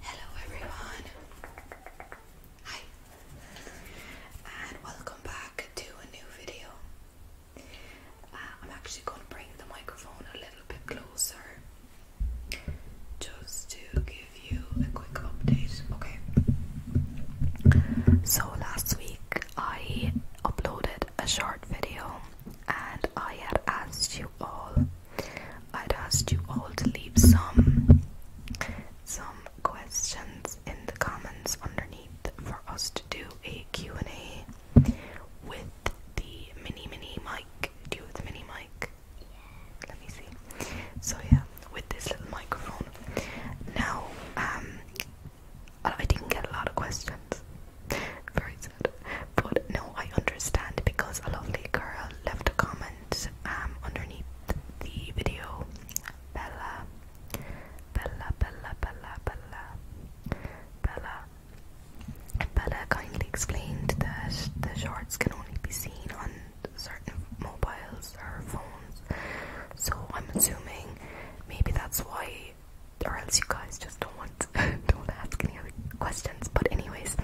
Hello everyone. Hi. And welcome back to a new video. Uh, I'm actually going to bring the microphone a little bit closer just to give you a quick update. Okay. So last week I uploaded a short video and I had asked you all I'd asked you all to leave some some questions in the comments underneath for us to do a Q&A with the mini mini mic. Do you mini mic? Let me see. So yeah, with this little microphone. Now, um I didn't get a lot of questions. Very sad. But no, I understand because a lovely girl left a comment um underneath the video. Bella, Bella, Bella, Bella, Bella, Bella. Bella kindly explained that the shorts can only be seen on certain mobiles or phones. So I'm assuming maybe that's why or else you guys just don't want don't ask any other questions. But anyways,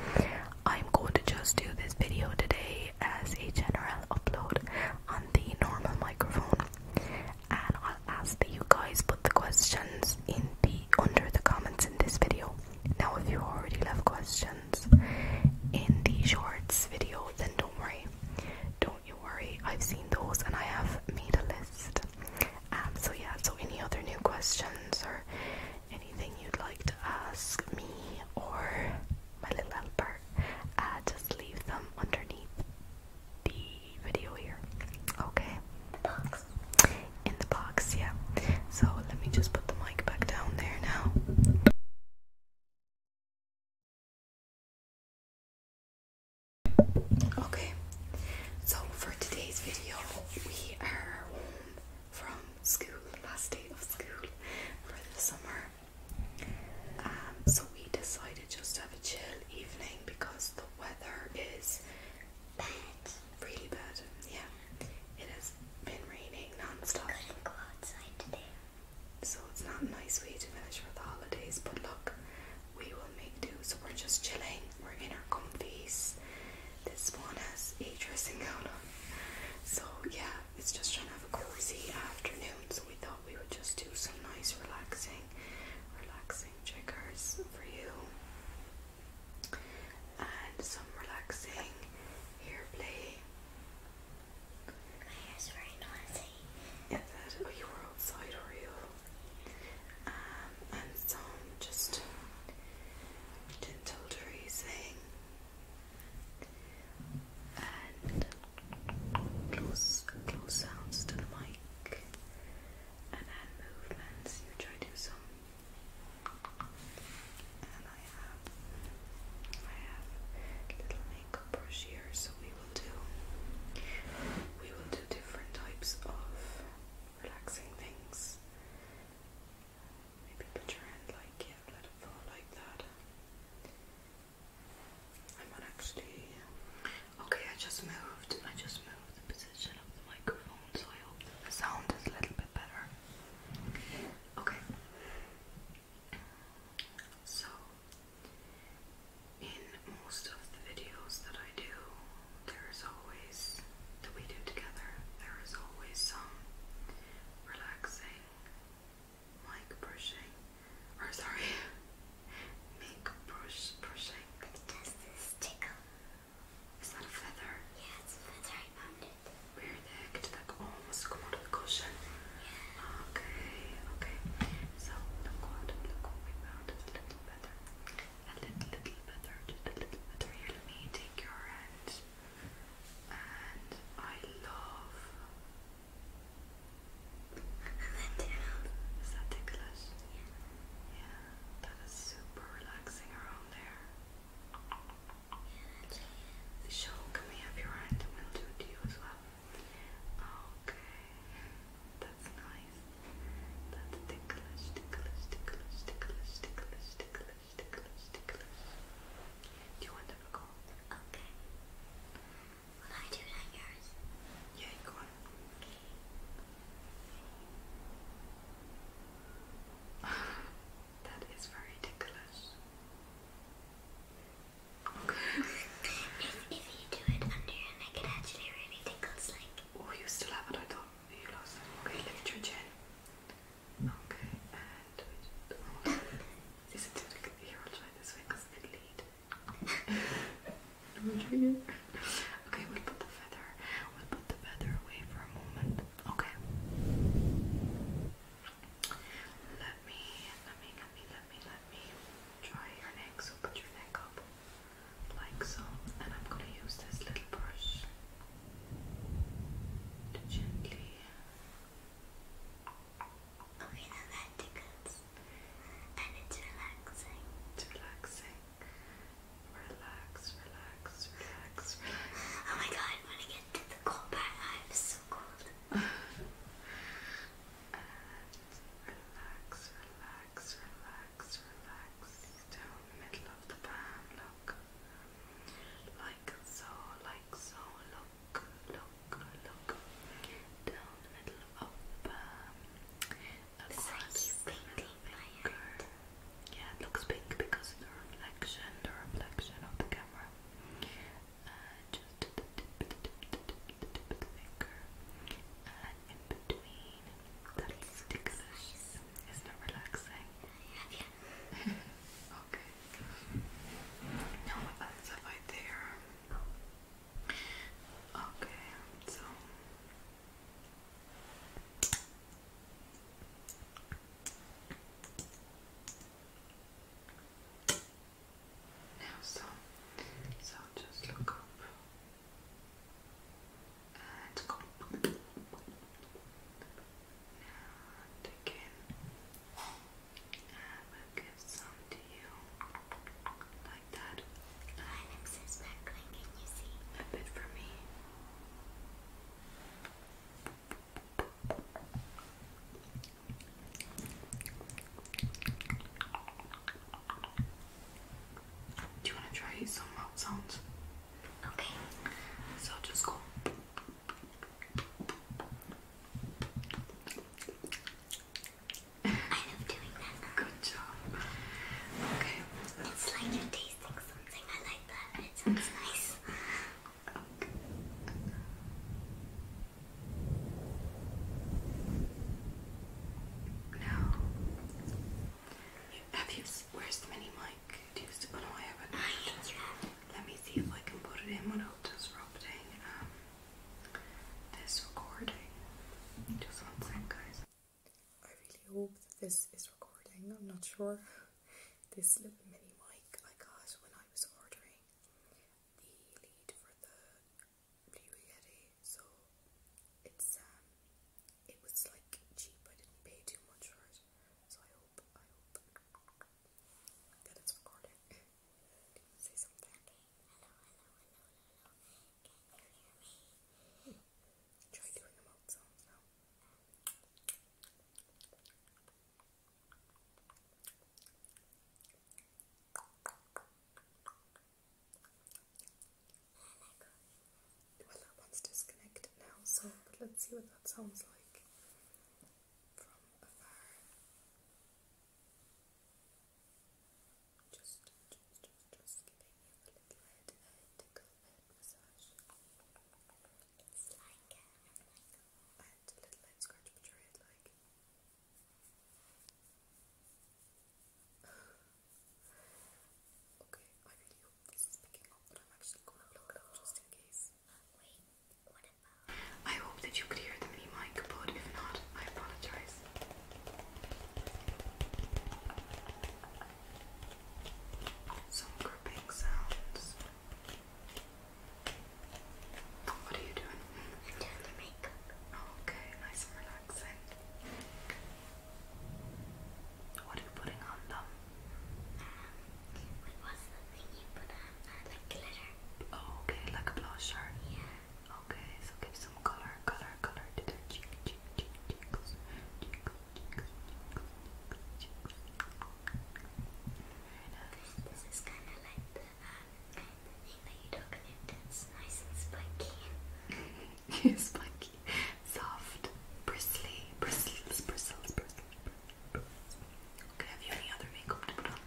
I'm going to just do this video today as a general upload on the normal microphone, and I'll ask that you guys put the questions in the under the comments in this video. Now, if you already left questions in the shorts video, then don't worry, don't you worry. I've seen those, and I have made a list um, so yeah, so any other new questions or anything you'd like to ask me or my little helper, uh, just leave them underneath the video here. Okay. In the box, yeah. So let me just put the mic back down there now. Okay, so for today's video, we are home from school, last day of school for the summer. Um, so we decided just to have a chill evening because the weather is bad, really bad. Yeah, it has been raining non-stop. could go outside today. So it's not a nice way to finish for the holidays, but look, we will make do. So we're just chilling. We're in our comfies. This one has a dressing gown on. So yeah, it's just trying to have a cozy afternoon. So we thought we would just do some nice relaxing, relaxing checkers for you. And some relaxing hair play. My oh, hair's very noisy. Is it? Oh, you were outside, were you? Um, and some just dental tracing and close, close sounds to the mic and hand movements, you try to do some and I have, I have little makeup brush here so we will do, we will do different types of relaxing things. Maybe put your hand like yeah, let it fall like that. I'm actually. Okay, I just moved. I just moved the position of the microphone, so I hope the sound is a little bit better. Okay. So in most of the videos that I do, there is always, that we do together, there is always some relaxing mic brushing, or sorry, make brush brushing. Does this tickle? Is that a feather? Yeah, feather. I found it. Where the heck did that go? Oh, almost come out cushion. Yeah. Okay, okay. So look what, look what we found. It's little A little, little better. Just a little better. let me take your hand. And I love. Is that ticklish? Yeah. Yeah, that is super relaxing around there. Yeah, so, can we have your hand and will do it to you as well? Okay, that's nice. That's ticklish, ticklish, ticklish, ticklish, ticklish, ticklish, ticklish, ticklish. Do you want to recall? Okay. Will I do it on yours? Yeah, go on. Okay. that is very ticklish. Okay. it's easy you do it under your neck, it actually really tickles like. Oh, you still have it, I thought you lost it. Okay, look at your chin. Okay, and do it. Oh, is it difficult? Here, I'll try this way because it lead. okay, we'll put the feather. We'll put the feather away for a moment. Okay. Let me, let me, let me, let me, let me try your neck. So put your neck up like so, and I'm going to use this little brush to gently. Okay, now that tickles, and it's relaxing. It's relaxing. Relax, relax, relax, Oh my god, when I get to the cold part, I'm so cold. relax, relax, relax, relax down the middle of the palm. Look, like so, like so. Look, look, look down the middle of the palm. Across the Yeah, it looks pink because the reflection, the reflection of the camera just the tip, the tip, the tip, the not relaxing. Yeah. okay. Now that's right there. Okay, so now so so just look up and go now again and will give some to you like that a bit for me do you want to try some mouth sounds? Okay. So just go. I love doing that. Good job. Okay. It's like you're tasting something. I like that. It sounds nice. Okay. No. have you? Where's the mini mic? Do you still? Oh, haven't. Let me see if I can put it in without disrupting um, this recording. Just one second, guys. I really hope this is recording. I'm not sure. This little mini mic I got when I was ordering the lead for the Blue so it's um it was like cheap, I didn't pay too much for it. So I hope I hope that it's recording. you say something? Okay. Hello, hello, hello, hello. Can you hear me? Try doing the mouth sounds now one's disconnected now, so let's see what that sounds like from afar. Just, just, just, just giving you a little bit a tickle head massage. It's uh, like, a little head scratch, but you're like okay, I really hope up, but I'm actually going to look it up just in case. Wait, what I hope that you could hear the mini mic, but if not, I apologize. Some gripping sounds. What are you doing? Doing your makeup. okay, nice and relaxing. What are you putting on them? Um, what was the thing you put on? Uh, like glitter. Oh, okay, like a blusher. Yeah. Okay, so give some color, color, color to their cheek, cheek, cheeks, cheeks, cheeks, cheeks, cheeks. This, is kind of like um, the thing that you took it, it's nice and spiky. spiky, soft, bristly, bristles, bristles, bristles. Okay, have you any other makeup to put on?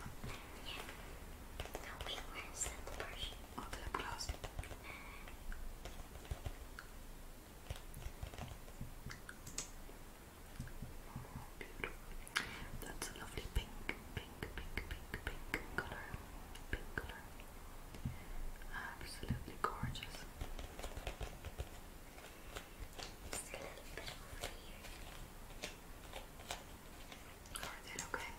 Yeah. No, wait, where's the lip brush? Oh, the lip gloss. That's a lovely pink, pink, pink, pink, pink color. Pink color. Absolutely gorgeous. Just a little bit over Are they okay?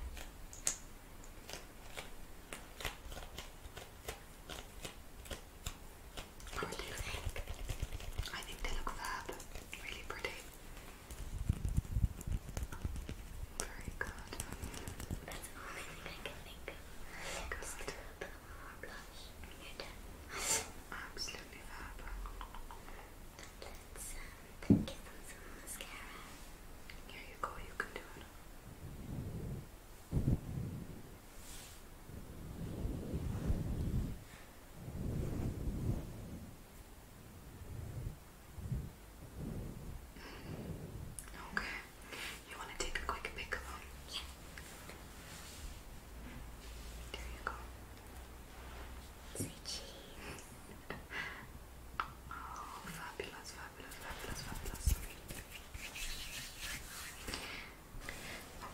What do I think they look fab, really pretty. Very good. That's the only thing I can think of. Good. Just a you Absolutely fab. Let's get some mascara. Here you go, you can do it. Okay. You want to take a quick pick of them? Yeah. There you go. Say oh, fabulous, fabulous, fabulous, fabulous.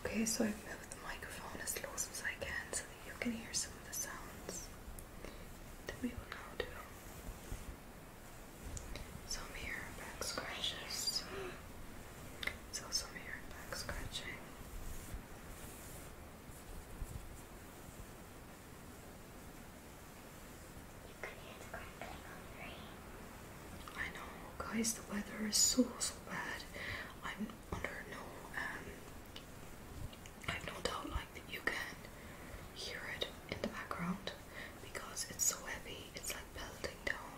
Okay, so I've moved the microphone as close as I can that you can hear some of the sounds that we will now do. Some here back scratches. So some here back scratching. I know, guys, the weather is so so bad under no um, I have no doubt like you can hear it in the background because it's so heavy, it's like pelting down,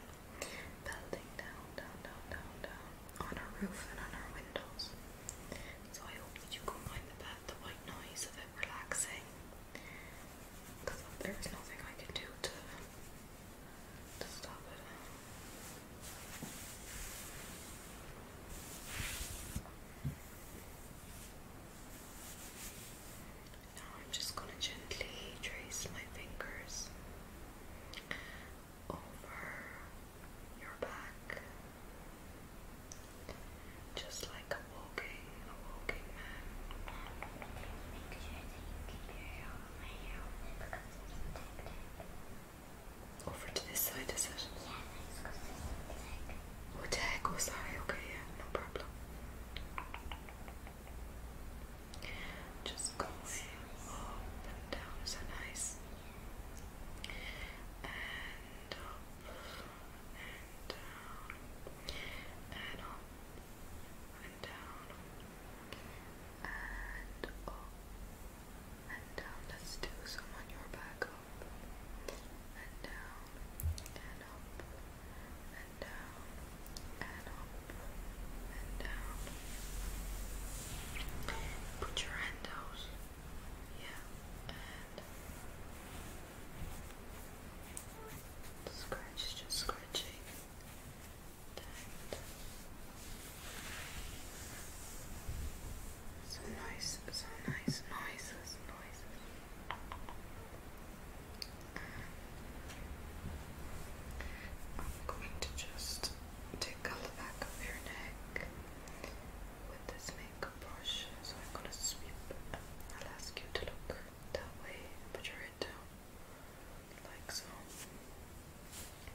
pelting down, down, down, down, down on our roof and on our windows. So I hope that you can find the the white noise of it relaxing. Because there's nothing I can do to now I'm just going to gently trace my fingers over your back, just like a walking, a walking man. Make sure that you keep your hair on because it's so over to this side, is it? Yeah, let's go tag. Oh, tag. Oh, sorry. Okay, yeah, no problem. Just go up and down. So nice. And up and down. And up and down and up oh, and down. Let's do some on your back. Up and down and up and down and up and down. Put your hand out. Yeah. And Scratch, just scratching. So nice, so nice noises, noises. I'm going to just tickle the back of your neck with this makeup brush. So I'm gonna sweep. I'll ask you to look that way, put your head down, like so.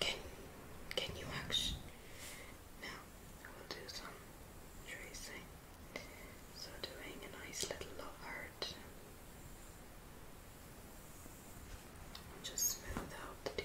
Can can you actually? Now we'll do some tracing. So doing a nice little love heart. Just smooth out the t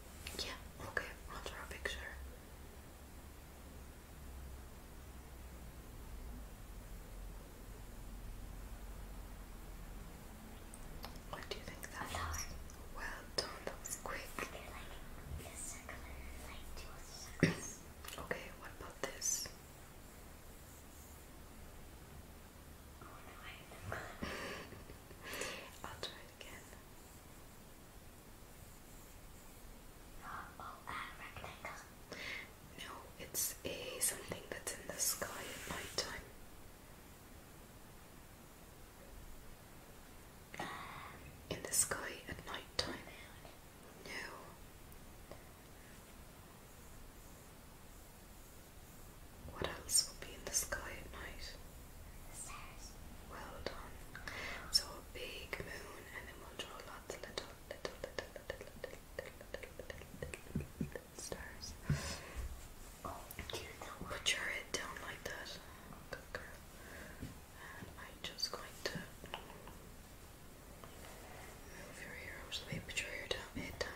Yeah, okay, I'll draw a picture. What do you think that was? Well done, that okay, what about this? Oh, no, it's a something that's in the sky at night time. in the sky at night No. What else will be in the sky at night? stars. Well done. So a big moon, and then we'll draw lots of little, little, little, little, little, little, little, little stars. Oh, Put your head down like that. Good girl. And I'm just going to move your hair out of your hair down, head down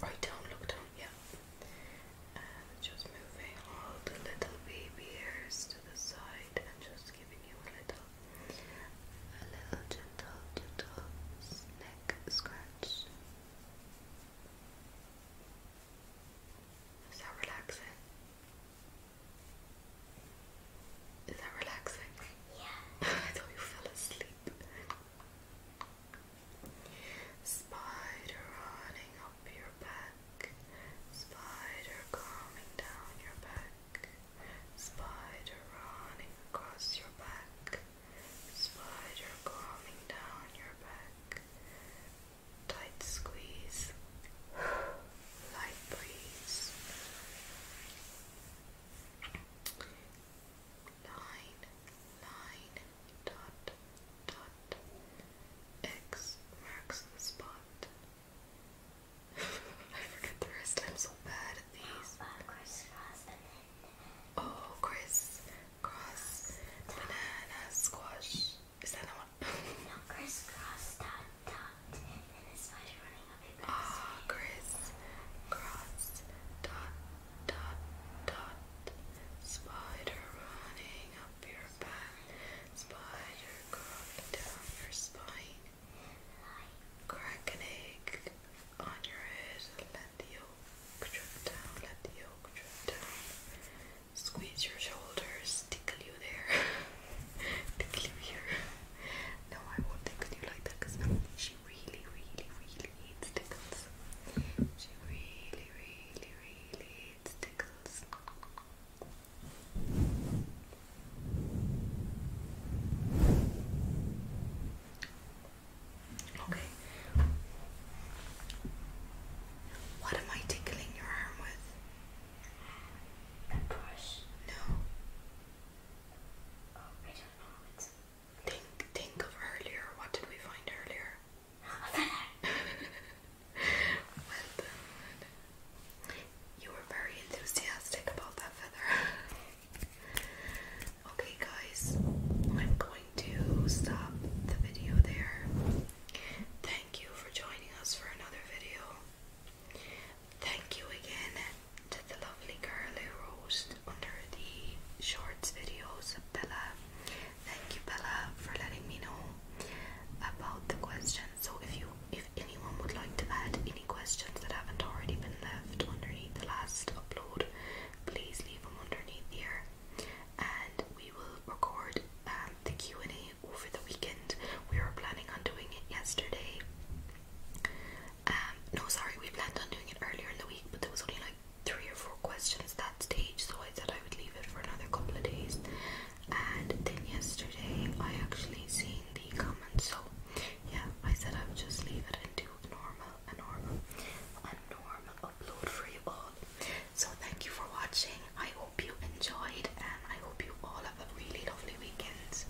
right down, look down, yeah. And just moving all the little baby ears to the side and just giving you a little, a little gentle, gentle neck scratch. Is that relaxing? Is that relaxing? Yeah. I thought you fell asleep. Spider running up your back, spider coming down your back, spider running across your back, spider coming down your back. Tight squeeze, light breeze line, line, dot, dot. X marks the spot. I forget the rest. I'm so bad at these. Oh, uh, Chris, cross, banana. squash. Is that not one? no, Chris, dot, dot, Ah, Chris, cross, dot, dot, dot. Spider running up your back, spider crawling down your spine. Crack an egg on your head, let the yolk drip down, let the yolk drip down. Squeeze your shoulders, tickle you there, tickle you here. No, I won't tickle you like that she really, really, really hates tickles. She really, really, really hates tickles. Okay. What am I tickling your arm with? A brush? No. Oh, I don't know. Think think of earlier. What did we find earlier? well You were very enthusiastic about that feather. okay guys, I'm going to stop the video there. Thank you for joining us for another video. Thank you again to the lovely girl who under the shorts videos, Bella. Thank you, Bella, for letting me know about the questions. So if you if anyone would like to add any questions that haven't already been left underneath the last upload, please leave them underneath here. And we will record um, the Q&A over the weekend. We were planning on doing it yesterday, um, no, sorry, we planned on doing it earlier in the week, but there was only like three or four questions that stage, so I said I would leave it for another couple of days. And then yesterday, I actually seen the comments, so yeah, I said I would just leave it and do normal, a normal, a normal upload for you all. So thank you for watching. I hope you enjoyed, and I hope you all have a really lovely weekend.